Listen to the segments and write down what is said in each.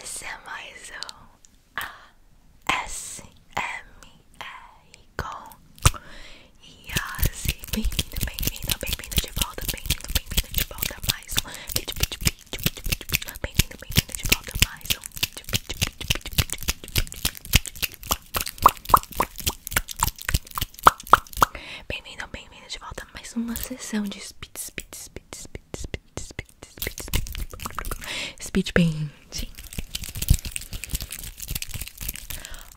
Esse é mais um ASMR com Yassi. Bem-vindo, bem-vindo, bem-vindo de volta, bem-vindo, bem-vindo de volta a mais um vídeo, vídeo, vídeo, Bem-vindo, bem-vindo de volta a mais um vídeo, vídeo, vídeo, vídeo. Bem-vindo, bem-vindo de volta a mais uma sessão de speed, speed, speed, speed, speed, speed, Speed painting.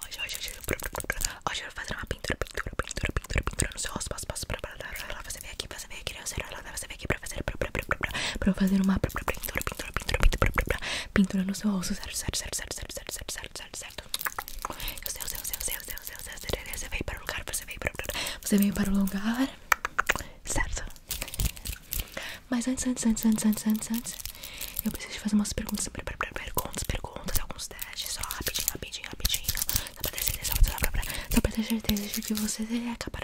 Hoje, hoje, hoje, hoje eu vou fazer uma pintura, pintura, pintura, pintura, pintura no seu rosto. Passo, passo, pra, pra, pra, você vem aqui, você vem aqui, você vem aqui pra fazer, pra, pra, pra, pra, pra fazer uma pintura, pintura, pintura, pintura, pintura, pintura no seu rosto, certo, certo, certo, certo, certo, certo, certo, certo, certo. certo, certo, certo, certo. eu sei, eu sei, você veio para o lugar, você veio para o lugar, você veio para o lugar, certo? Mas antes, antes, antes, antes, antes, antes, antes, eu preciso te fazer umas perguntas, perguntas, perguntas, alguns testes, só rapidinho, rapidinho, rapidinho, só para ter certeza, só para ter certeza de que você é capaz,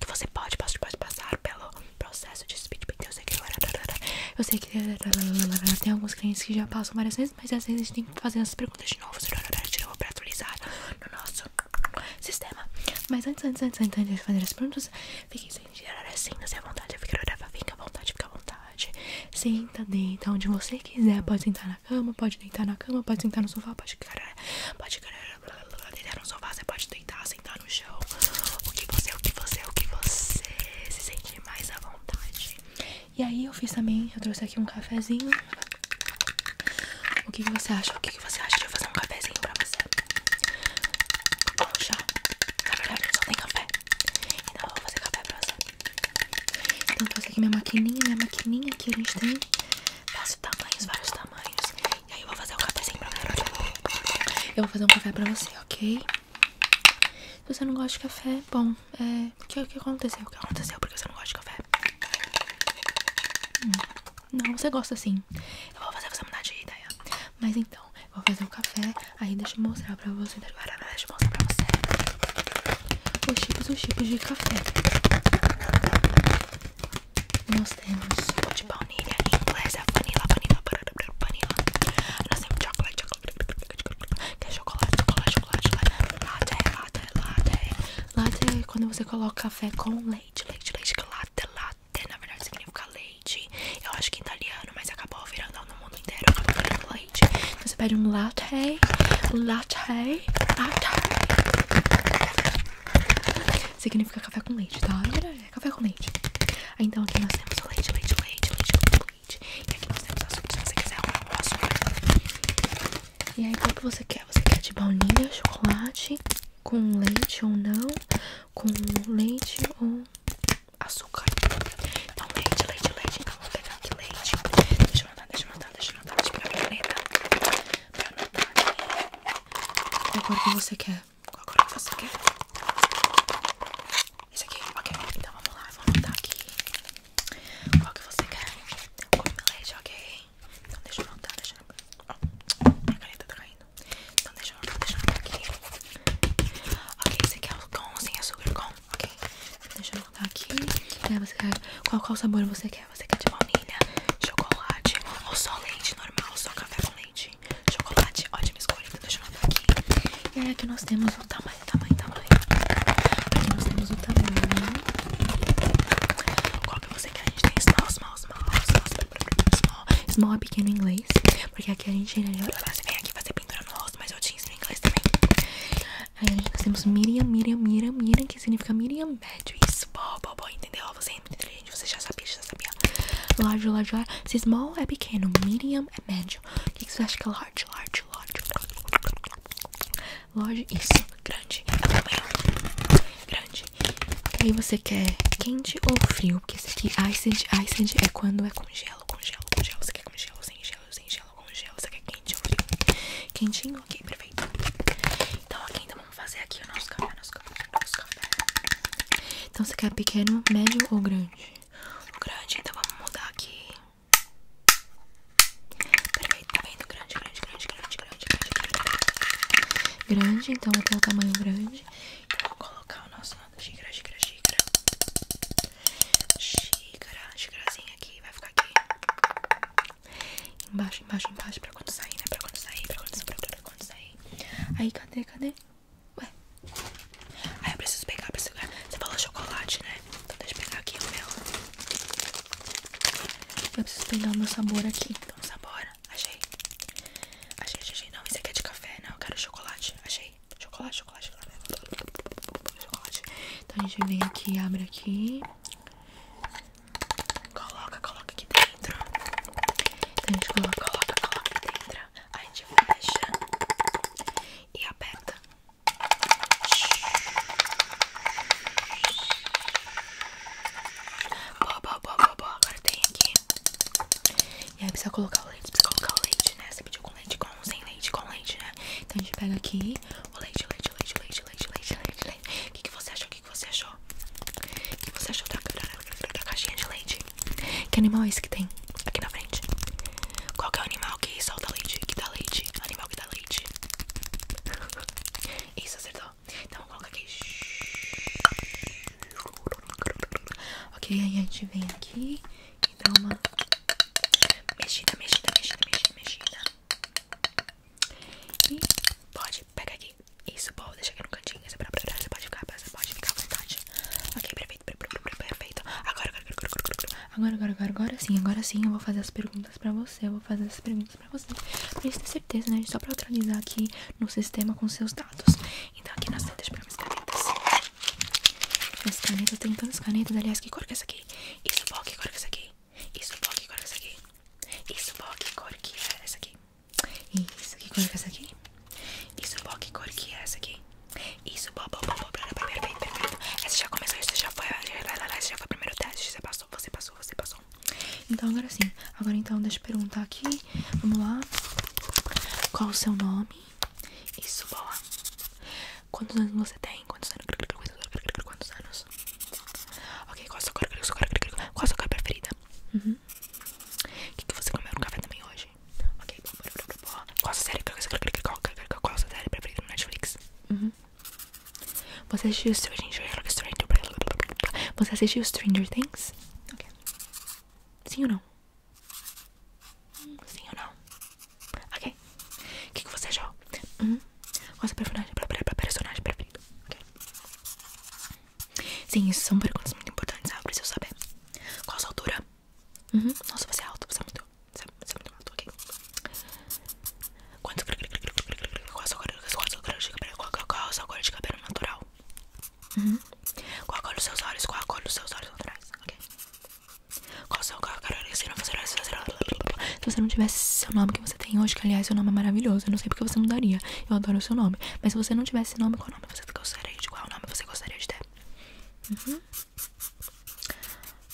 que você pode, pode, pode passar pelo processo de speed painting, eu sei que eu sei que tem alguns clientes que já passam várias vezes mas às vezes a gente tem que fazer as perguntas de novo, de novo pra atualizar no nosso sistema. Mas antes, antes, antes, antes de fazer as perguntas, fiquem sem gerar assim, se à vontade, fica à vontade, fica à vontade. Senta, deita onde você quiser, pode sentar na cama, pode deitar na cama, pode sentar no sofá, pode caralho, pode caralho, deitar no sofá, você pode deitar, sentar no chão. O que você, o que você, o que você se sente mais à vontade. E aí eu fiz também, eu trouxe aqui um cafezinho. O que, que você acha? O que, que você acha de eu fazer um cafezinho pra você? Ou um chá? Na só tem café. Então eu vou fazer café pra você. Então fazer aqui minha maquininha, minha maquininha que a gente tem. Vários tamanhos, vários tamanhos. E aí eu vou fazer um cafezinho pra você. Eu vou fazer um café pra você, ok? Se você não gosta de café, bom, é. O que, aconteceu? O que aconteceu? Porque você não gosta de café? Hum, não, você gosta sim. Eu vou fazer você mudar de ideia. Mas então, vou fazer o café. Aí deixa eu mostrar pra você. Deixa eu mostrar pra você. Os tipos, os tipos de café. Nós temos de baunilha, inglesa, é vanilla, vanilla, vanilla. Nós temos chocolate, Quer chocolate, chocolate, chocolate, chocolate. Latte, latte, latte. Latte quando você coloca café com leite, leite, leite. Latte, latte, na verdade significa leite. Eu acho que é italiano, mas acabou virando no mundo inteiro. Acabou leite. Então, você pede um latte, latte, latte. Significa café com leite, tá? É é café com leite. Então aqui nós temos leite, leite, leite, leite. E aqui nós temos açúcar, se você quiser um açúcar. E aí, qual que você quer? Você quer de baunilha, chocolate, com leite ou não? Com leite ou açúcar? Então, leite, leite, leite. Então, vamos pegar aqui leite. Deixa eu anotar, deixa eu anotar, deixa eu anotar. Deixa eu pegar a caneta pra anotar aqui. Qual cor que você quer? Qual cor que você quer? Esse aqui, ok. Então, vamos lá, vamos anotar aqui. Qual que você quer? Tem um comelete, ok? Então deixa eu anotar, deixa Ó, minha caneta tá caindo. Então deixa eu anotar, deixa eu anotar aqui. Ok, você quer com ou sem açúcar? Com, ok? Deixa eu anotar aqui. qual, qual sabor você quer? Você quer de baunilha, chocolate ou só leite normal? Só café com leite? Chocolate? Ótima escolha, então deixa eu anotar aqui. E aí aqui nós temos tamanho, tamanho, tamanho. Aqui nós temos o tamanho. Qual que você quer? A gente tem small, small, small, small, small. Small small é pequeno em inglês. Porque aqui a gente você vem aqui fazer pintura no rosto, mas eu te ensino em inglês também. Aí nós temos Miriam, Miriam, Miriam, Miriam, que significa Miriam Bad. small, small, small bom, entendeu? Você é inteligente, você já sabia, já sabia. Large, large, large. Se small é pequeno, medium é médio. O que, você acha que é large? Large, large. Large, isso. Grande. Grande. aí você quer quente ou frio? Porque esse aqui, iced, iced é quando é congelo, gelo, com gelo, Você quer congelo gelo, sem gelo, sem gelo, congelo Você quer quente ou frio? Quentinho? Ok, perfeito. Então, ok, então vamos fazer aqui o nosso café, nosso café, nosso café. Então você quer pequeno, médio ou grande? O grande, então vamos mudar aqui. Perfeito, tá vendo? Grande, grande, grande, grande, grande, grande, grande. Grande, então até o tamanho grande. Então vou colocar o nosso lado xícara, xícara, xícara. Xícara, xícarazinha aqui, vai ficar aqui. Embaixo, embaixo, embaixo, pra quando sair, né? Pra quando sair, pra quando sair, pra quando sair. Aí, cadê, cadê? Ué, Aí eu preciso pegar pra esse Você falou chocolate, né? Então deixa eu pegar aqui o meu. Eu preciso pegar o meu sabor aqui. Então, sabor. Achei. Achei, achei. Não, isso aqui é de café, não. Eu quero chocolate. Achei. chocolate, chocolate. Chocolate. Então a gente vem aqui, abre aqui. Coloca, coloca aqui dentro. Então a gente coloca, coloca, coloca aqui dentro. Aí a gente fecha e aperta. Boa, boa, boa, boa, Agora tem aqui. E aí precisa colocar o leite, precisa colocar o leite, né? Você pediu com leite, com sem leite, com leite, né? Então a gente pega aqui o leite, leite, leite, leite, leite, leite, leite, leite. O que, que você achou? O que, que você achou? O que você achou da, da, caixinha de leite? Que animal é esse que tem? aqui na frente. Qual é o animal que solta leite? Que dá leite? Animal que dá leite. Isso, acertou. Então vou colocar aqui. Ok, aí a gente vem aqui e dá uma mexida, mexida, mexida, mexida, E pode pegar aqui. Isso, pode deixar aqui no cantinho. Você para é pra trás, você pode ficar, você pode ficar à vontade. Ok, perfeito, perfeito. Agora, agora, agora, agora, agora, agora, agora sim, agora sim eu vou fazer as perguntas pra você. Eu vou fazer as perguntas pra você. Pra ter certeza, né? Só pra atualizar aqui no sistema com seus dados. Então aqui nas temos pra canetas. As canetas, tem tantas canetas. Aliás, que cor que é essa aqui? Isso, que cor que é essa aqui? Isso, que cor é essa aqui? Isso, que cor que é essa aqui? Isso, que cor que é essa aqui? Isso, ó, que cor que é essa aqui? Isso, bom, bom, bom, perfeito, perfeito. Essa já começou, essa já foi, essa já foi o primeiro teste. Você passou, você passou, você passou. Então, agora sim. Agora, então, deixa eu perguntar aqui. Vamos lá. Qual o seu nome? Isso, boa. Quantos anos você tem? Quantos anos? Quantos anos? Ok, qual a sua cor, qual a sua cor, qual a sua cor preferida? Uhum. O que, que você comeu no café também hoje? hoje. Ok, qual a sua série? Qual a sua série preferida no Netflix? Uhum. Você assistiu Stranger Você assistiu Stranger Things? Ok. Sim ou não? Sim ou não? Ok. O que, que você achou? Uhum. Qual a sua personagem, personagem preferida? Ok. Sim, isso são perguntas muito importantes, sabe? Ah, pra eu saber. Qual a sua altura? Uhum. Nossa, você é alto, você é muito. Você é, você é muito alto, ok? Quanto qual a sua cor de cabelo natural? Uhum. Qual a cor dos seus olhos? Qual a cor dos seus olhos naturais? Ok? Qual o seu qual a cor de Se você não tivesse seu nome que você tem hoje, que aliás seu nome é maravilhoso, eu não sei porque você mudaria. Eu adoro o seu nome. Mas se você não tivesse nome, qual nome você gostaria de qual nome você gostaria de ter? Uhum.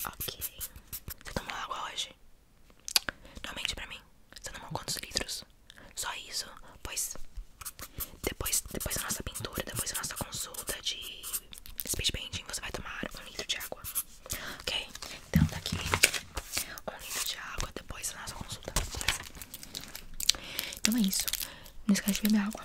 Ok. Você tomou água hoje? Não mente pra mim. Você tomou quantos litros? Só isso? Pois. Depois, depois da nossa pintura, depois da nossa consulta de speed bending, você vai tomar um litro de água. Ok? Então daqui tá um litro de água depois da nossa consulta. Beleza? Então é isso. Não esquece de beber água.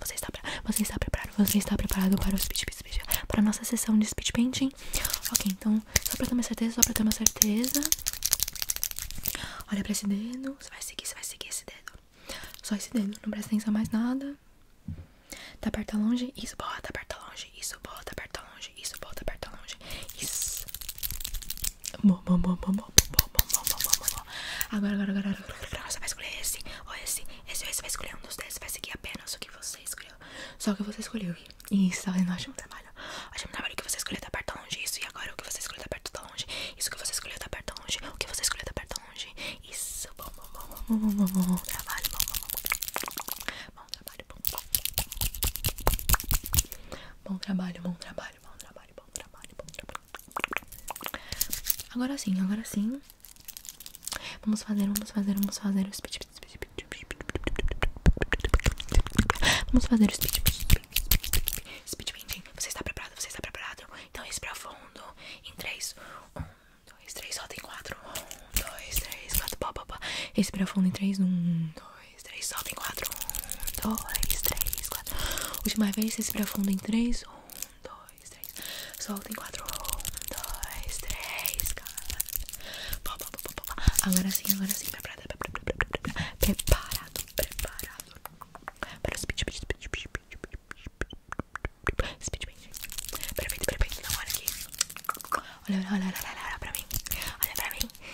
Você está, você está preparado? Você está preparado para o speed, speed, speed para a nossa sessão de speed painting? Ok, então, só para ter uma certeza, só para ter uma certeza. Olha para esse dedo. Você vai seguir, você vai seguir esse dedo. Só esse dedo, não presta atenção mais nada. Tá aperta longe, isso, bota, aperta longe, isso, bota, aperta longe, isso, bota, aperta longe. Isso. Bom, bom, bom, bom, bom, bom, bom, bom, bom, bom, bom, agora Agora, agora, agora, agora, agora você vai escolher esse ou esse. Esse ou esse vai escolher um dos dez. Vai seguir apenas o que você escolheu. Só o que você escolheu. E isso tá fazendo um ótimo trabalho. Ótimo trabalho. que você escolheu tá perto tá longe. Isso. E agora o que você escolheu tá perto tá longe. Isso que você escolheu tá perto tá longe. O que você escolheu tá perto tá longe. Isso. Bom, bom, bom, bom, bom, bom, bom, bom trabalho. Bom, bom, bom. Bom trabalho, bom. Bom trabalho, bom trabalho, bom trabalho bom trabalho, bom trabalho. Agora sim, agora sim. Vamos fazer, vamos fazer, vamos fazer o speed. Vamos fazer o speed. Speed speed speed Você está preparado? Você está preparado? Então esse para o fundo. Em 3, 1, 2, 3, solta em 4. 1, 2, 3, 4, pá, pá, pá. Respira fundo em 3, 1, 2, 3, solta em 4 dois, três, quatro. Última vez, respira fundo em três. Um, dois, três. Solta em quatro. Um, dois, três, quatro. Agora sim, agora sim. Preparado, preparado, preparado. Para o speech speech speech speech speech Perfeito, perfeito. Não, olha aqui. Olha, olha, olha, olha, olha pra mim. Olha pra mim.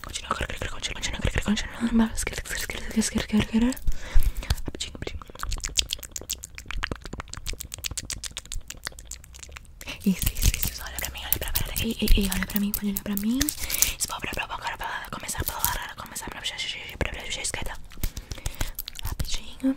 Continua, continua, continua, continua, continua. Rapidinho, rapidinho. Isso, isso, isso. Olha pra mim, olha pra mim. Ei, ei, ei, olha pra mim, pode olhar pra mim. Esbobra pra agora pra começar a falar. Começar pra puxar a esquerda. Rapidinho.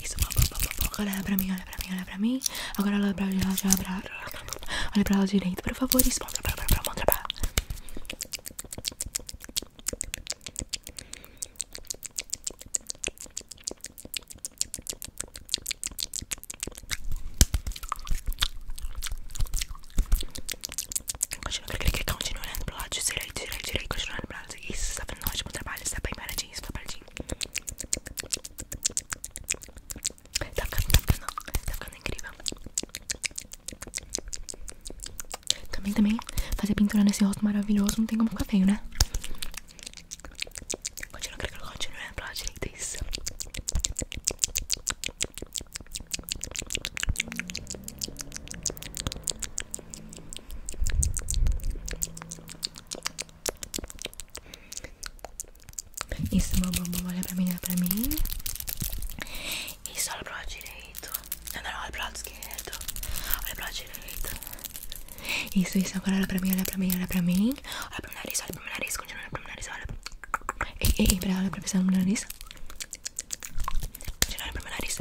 Isso, olha pra mim, olha pra mim, olha pra mim. Agora olha pra lá, olha pra lá. Olha pra lá direito, por favor. Isso, mostra pra, pra, pra, mostra pra. Continua, clica, o olhando lado direito, direito, direito, continuando olhando pro lado Isso, tá fazendo um ótimo trabalho, você tá bem paradinho, você tá paradinho Tá ficando, tá tá incrível Também, também, fazer pintura nesse rosto maravilhoso não tem como ficar feio, né? Continua, clica, continua olhando lado direito, isso isso, meu bumbum, olha pra mim, olha pra mim. Isso, olha pro lado direito. Não, não, olha o lado esquerdo. Olha pro lado direito. Isso, isso, agora olha pra mim, olha pra mim, olha pra mim. Olha pro meu mim olha pro meu nariz, continua olha pro meu mim olha. Ei, ei, ei, pra, olha pra pessoa no meu nariz. Tiraram pro meu nariz.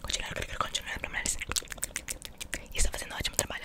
Continuaram, continuaram pro meu nariz. E está fazendo ótimo trabalho.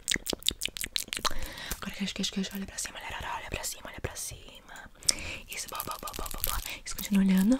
Agora queixo, queixo, queixo. Olha pra cima, olha, olha pra cima, olha pra cima. Isso, boa, boa, boa, boa, boa. Isso, continua olhando.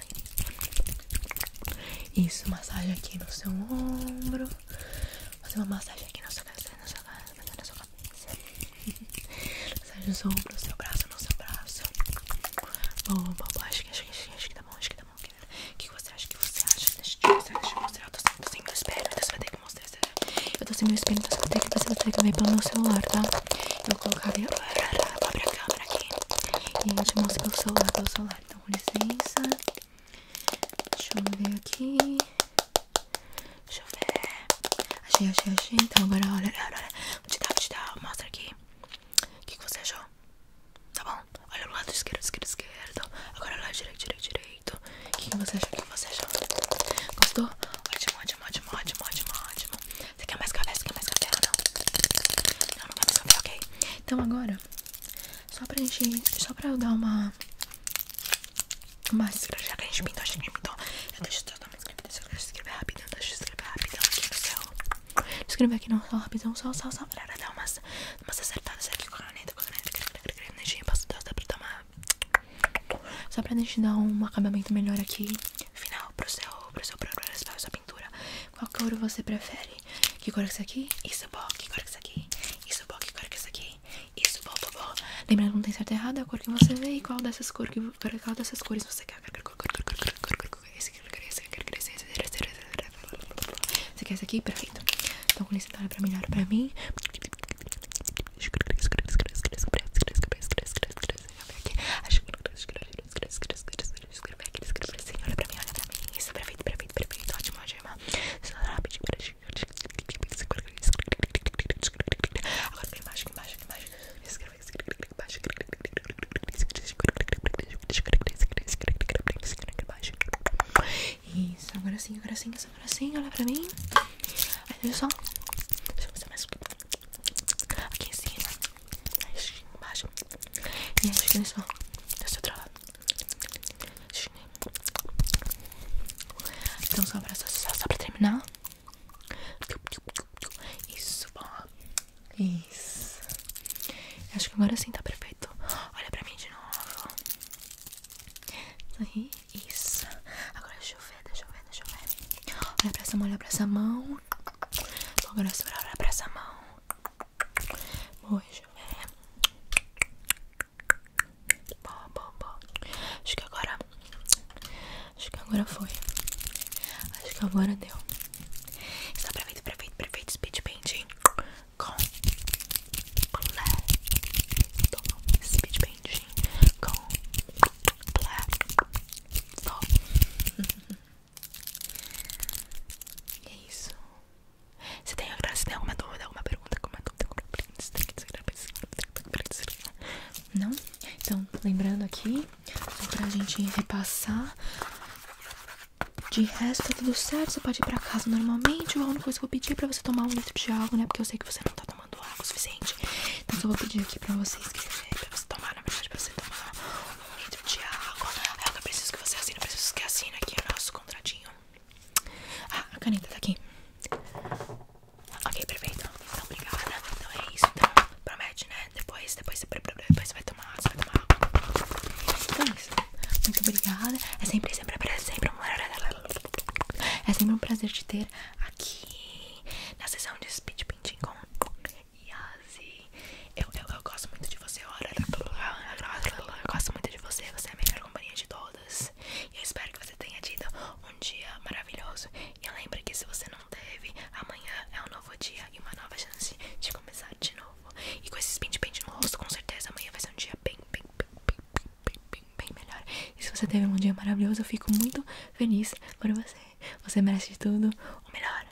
Isso, massagem aqui no seu ombro. Fazer uma massagem aqui na sua cabeça, massagem no seu ombro, no seu braço, no seu braço. Boa, boa, boa. Acho que, acho que, acho que tá bom, acho que tá bom. O que você acha? que você acha? Deixa eu te mostrar, deixa eu te mostrar. Eu tô sem, tô meu espelho, então você vai que mostrar. Eu tô sem meu espelho, então você vai ter que, você vai ter que ver pelo meu celular, tá? Eu vou colocar a minha... Vou abrir a câmera aqui. E eu te mostro pelo celular, pelo celular então com licença. Deixa eu ver aqui. Deixa eu ver. Achei, achei, achei. Então agora olha, olha, olha. Vou te dar, vou te dar. Mostra aqui. O que, você achou? Tá bom? Olha o lado esquerdo, esquerdo, esquerdo. Agora lá direito, direito, direito. O que, você achou? O que você achou? Gostou? Ótimo, ótimo, ótimo, ótimo, ótimo, ótimo. Você quer mais café? Você quer mais café ou não? Não, não quer mais café, ok? Então agora, só pra gente, dar uma uma já que a gente pintou, a gente pintou. Eu só dar uma escrevida, deixa eu escrever rapidão, deixa eu escrever rapidão aqui no céu. Deixa eu escrever aqui não, só rapidão, só, só, só pra dar umas, umas acertadas aqui com a neta com a neta com a caneta, posso dar, dá pra dar Só pra gente dar um acabamento melhor aqui, final, pro céu pro seu progresso, pra sua pintura. Qual cor você prefere? Que cor é isso aqui? Isso bom, que cor é isso aqui? Isso bom, que cor é isso aqui? Isso bom, bom, bom. que não tem certo e errado, a cor que você vê e qual dessas cores, que, qual dessas cores você quer. Esse aqui, esse aqui, esse aqui, esse aqui. Você quer esse aqui? Perfeito. Então, com licença, olha pra mim, olha pra mim. Acho que não escreve, escreve, escreve, escreve, escreve aqui, escreve assim, olha pra mim, olha pra mim. Isso, perfeito, perfeito, perfeito, ótimo, ótimo. Rápido, agora vem embaixo, embaixo, embaixo. Escreve, escreve, embaixo. Isso, agora sim, agora sim, agora sim, olha pra mim. Aí, olha só. Deixa eu fazer mais aqui em cima embaixo e a esquina é só desse é outro lado é. então só pra, só, só pra terminar isso, bom isso acho que agora sim tá perfeito olha pra mim de novo isso, agora deixa eu ver, deixa eu ver, deixa eu ver olha pra essa mão, olha pra essa mão mão. Vou agora segurar pra essa mão. Hoje é. Bom, bom, bom. Acho que agora. Acho que agora foi. Acho que agora deu. Está é perfeito, perfeito, perfeito. Speed painting com completo. Speed painting com completo. E é isso. Se tem, alguma dúvida, alguma pergunta, alguma dúvida, não? Então, lembrando aqui, só pra gente repassar. De resto, tá tudo certo. Você pode ir pra casa normalmente. A única coisa que eu pedi é pra você tomar um litro de água, né? Porque eu sei que você não tá tomando água o suficiente. Então, só vou pedir aqui pra vocês escrever, pra você tomar, na verdade, pra você tomar do então, Tiago. É eu preciso que você assine, eu preciso que assine aqui o nosso contratinho. Ah, a caneta tá aqui. Ok, perfeito. Então, obrigada. Então é isso. Então, promete, né? Depois, depois, você vai tomar, tomar água. Então é isso. Muito obrigada. É sempre, sempre, sempre um É sempre um prazer te ter aqui na sessão de speed painting com Yazi. Assim, eu, eu, gosto muito de você, Ora, eu gosto muito de você, você é a melhor companhia de todas. E eu espero que você tenha tido um dia maravilhoso. E lembre que se você não teve, amanhã é um novo dia e uma nova chance de começar de novo. E com esses pente-pente no rosto, com certeza amanhã vai ser um dia bem, bem, bem, bem, bem, bem, bem melhor. E se você teve um dia maravilhoso, eu fico muito feliz por você. Você merece de tudo o melhor.